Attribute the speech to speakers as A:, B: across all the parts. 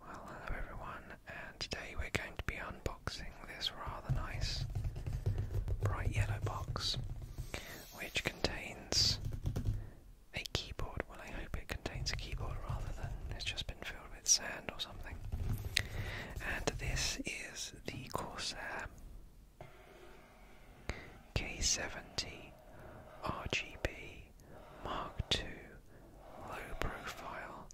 A: Well, hello everyone, and today we're going to be unboxing this rather nice bright yellow box, which contains a keyboard. Well, I hope it contains a keyboard rather than it's just been filled with sand or something. And this is the Corsair K70 RGB Mark II low profile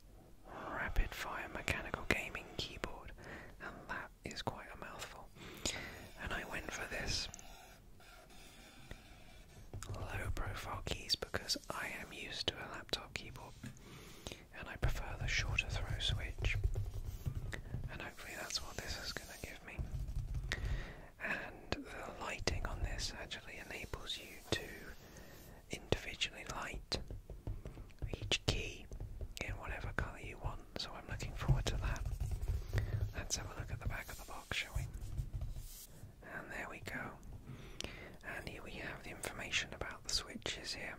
A: rapid fire mechanical gaming keyboard, and that is quite a mouthful. And I went for this low profile keys because I am used to a laptop keyboard and I prefer the shorter throw switch. And hopefully that's what this is going to give me and the lighting on this actually enables you to individually light each key in whatever colour you want, so I'm looking forward to that. Let's have a look at the back of the box, shall we? And there we go. And here we have the information about the switches here.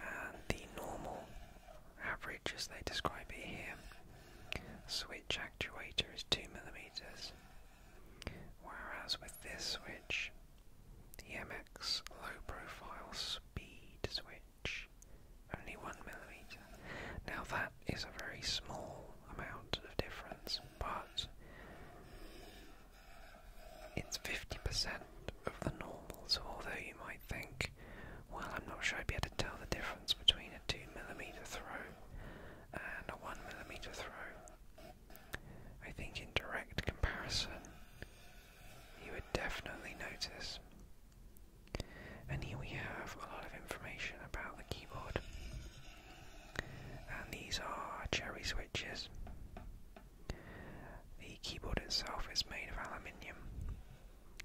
A: And the normal average, as they describe it here, switch actuator is 2mm, whereas with this switch, the MX low profile speed switch, only 1mm. Now that is a very small amount of difference, but it's 50% of the normals. although you might think, well, I'm not sure I'd be able to tell the difference between a 2mm throw and a 1mm throw. I think in direct comparison, you would definitely notice. And here we have a lot of information about the keyboard. And these are cherry switches. The keyboard itself is made of aluminium,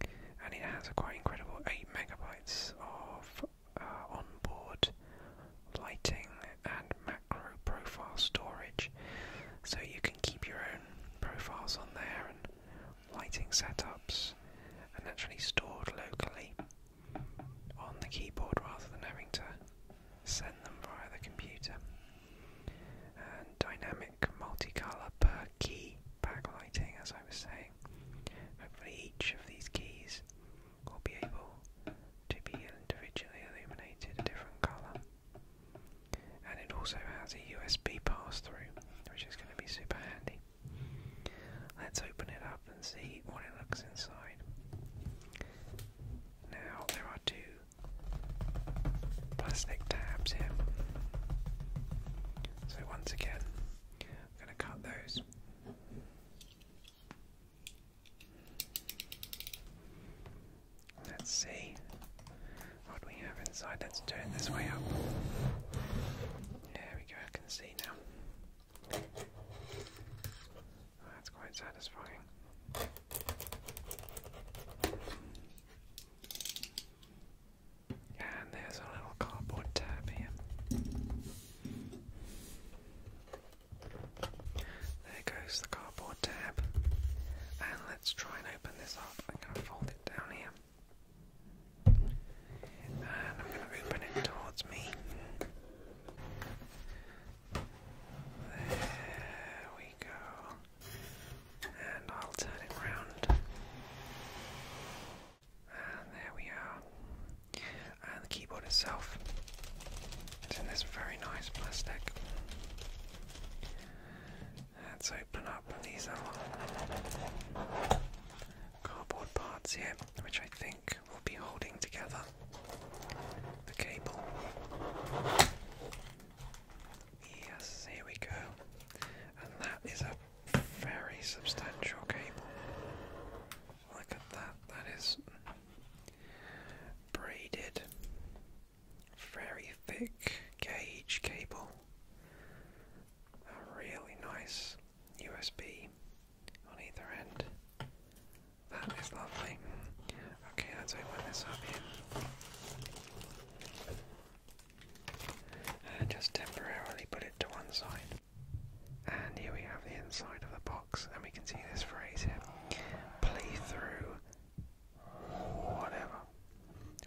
A: and it has quite incredible 8 megabytes of uh, on-board lighting and macro profile storage. So you can keep your own profiles on there and lighting setups, and actually stored locally on the keyboard rather than having to send them via the computer. And dynamic multicolor per key backlighting, as I was saying. Hopefully, each of these keys will be able to be individually illuminated a different colour. And it also has a USB pass through, which is going to be super handy. Let's open it up and see what it looks inside. Now, there are two plastic tabs here. So once again, I'm going to cut those. Let's see what we have inside. Let's turn it this way up. There we go, I can see now. that's quite satisfying. And there's a little cardboard tab here. There goes the cardboard tab. And let's try and open this up. I'm going to fold it down here. And I'm going to open it towards me. There we go and I'll turn it round. And there we are. And the keyboard itself is in this very nice plastic. Let's open up these little cardboard parts here, which I think will be holding together the cable. Yes, here we go. And that is a very substantial cable. Look that, that is braided, very thick gauge cable. A really nice USB on either end. That is lovely. Okay, let's open this up here and uh, just temporarily put it to one side. And here we have the inside of the box, and we can see this phrase here play through whatever,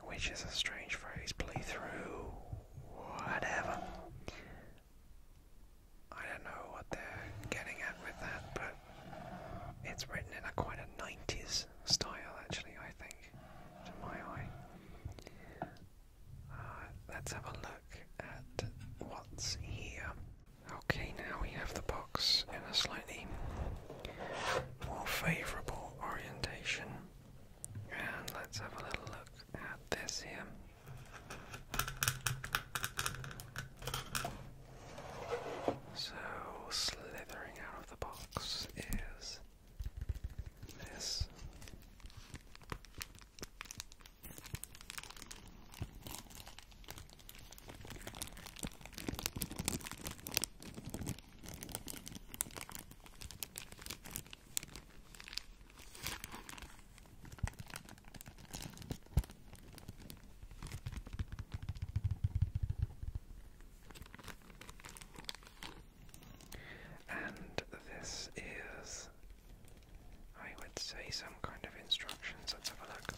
A: which is a strange phrase play through whatever. I don't know what they're getting at with that, but it's written in a quite a 90s style, actually, I think, to my eye. Uh, let's have a look at what's here. Okay, now we have the box in a slightly more favourable orientation. And let's have a little look at this here. So, slithering out the box is this. And this is, I would say, some kind of instructions. Let's have a look.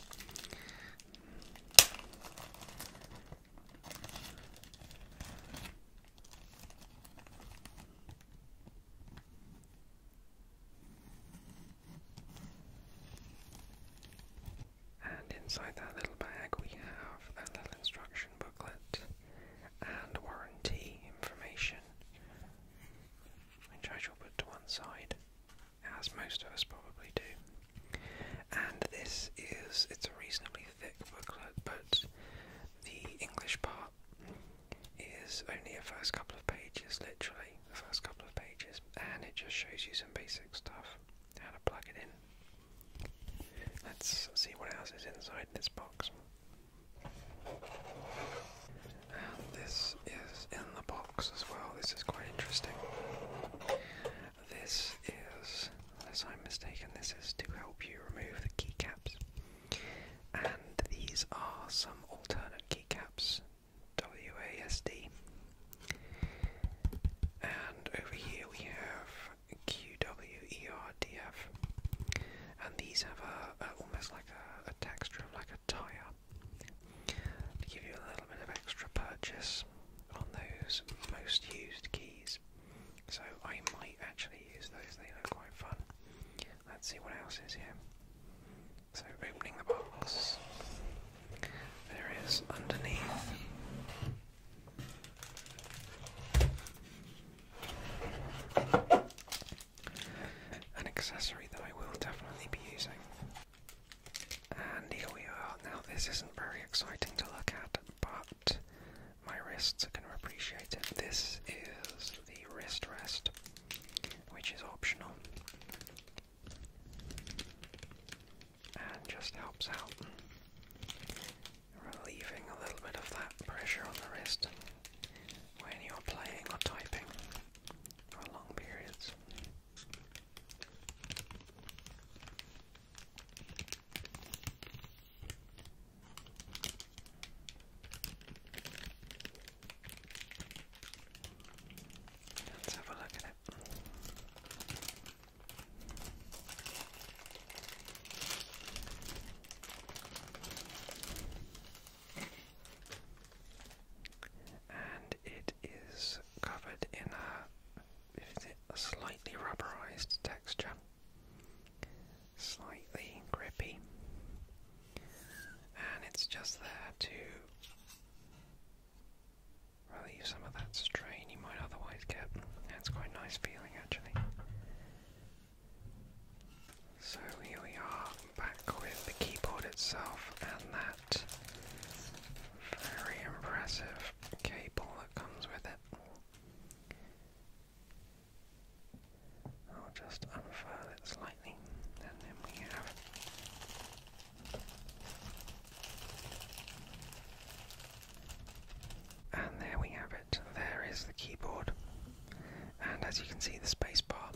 A: And inside that little bag, we have a little instruction booklet and warranty information, which I shall put to one side, as most of us probably do. And this is, it's a reasonably thick booklet, but the English part is only a first couple of pages, literally the first couple of pages, and it just shows you some basic stuff how to plug it in, Let's see what else is inside this box. this is in the box as well. This is quite interesting. This is, unless I'm mistaken, this is to help you remove the keycaps. And these are some alternate keycaps. WASD and over here we have QWERDF, and these have a, almost like a texture of like a tire to give you a little bit of extra purchase on those most used keys. So I might actually use those; they look quite fun. Let's see what else is here. So opening the box. There is underneath. An accessory that I will definitely be using. And here we are. Now, this isn't very exciting to look at, but my wrists are going to appreciate it. This is the wrist rest, which is optional and just helps out, relieving a little bit of that pressure on the wrist when you're playing or typing for long periods. Let's have a look at it. And it is covered in a, slightly rubberized texture, slightly grippy, and it's just there to relieve some of that strain you might otherwise get. That's quite a nice feeling actually. So here we are, back with the keyboard itself and that very impressive cable that comes with it. I'll just unfurl it slightly, and then we have and there we have it. There is the keyboard. And as you can see, the spacebar.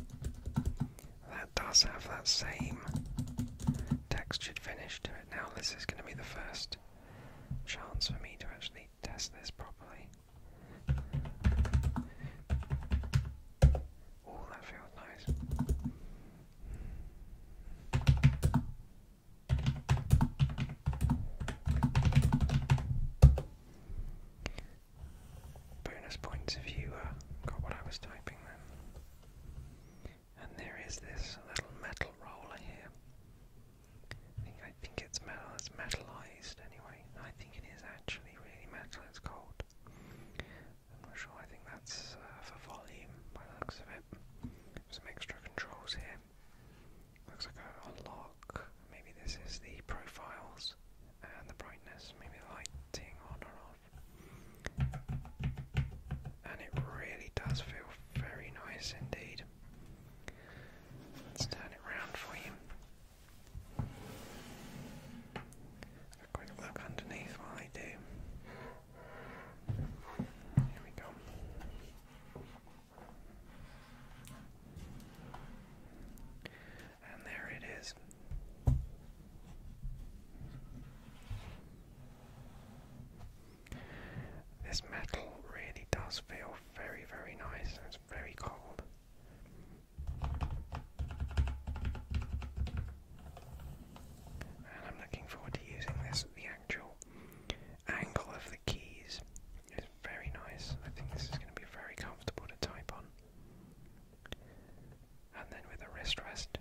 A: That does have that same textured finish to it. Now, this is going to be the first chance for me to actually test this properly. Oh, that feels nice. Bonus points if you uh, got what I was typing then. And there is this little metal roller here. I think I think it's metal. It's metalized anyway. I think it is actually really metal. It's cold. I'm not sure, I think that's uh, for volume by the looks of it. Some extra controls here. Looks like a unlock. Maybe this is the profiles and the brightness, maybe lighting on or off. And it really does feel very nice indeed. Let's turn it round for you a quick look underneath while I do. Here we go. And there it is. This metal really does feel very, very nice and it's very cold. I'm looking forward to using this. The actual angle of the keys is very nice. I think this is going to be very comfortable to type on. And then with a wrist rest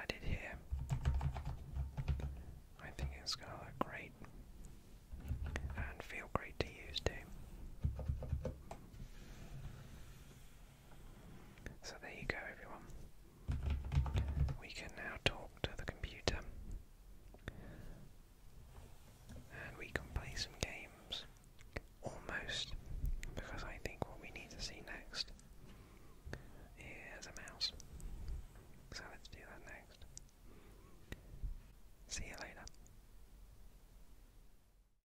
A: added here, I think it's going to look great and feel great to use too. So there you go, everyone. We can now talk to the computer. And we can play some games. Almost. Because I think what we need to see next is a mouse. So let's do that next. See you later.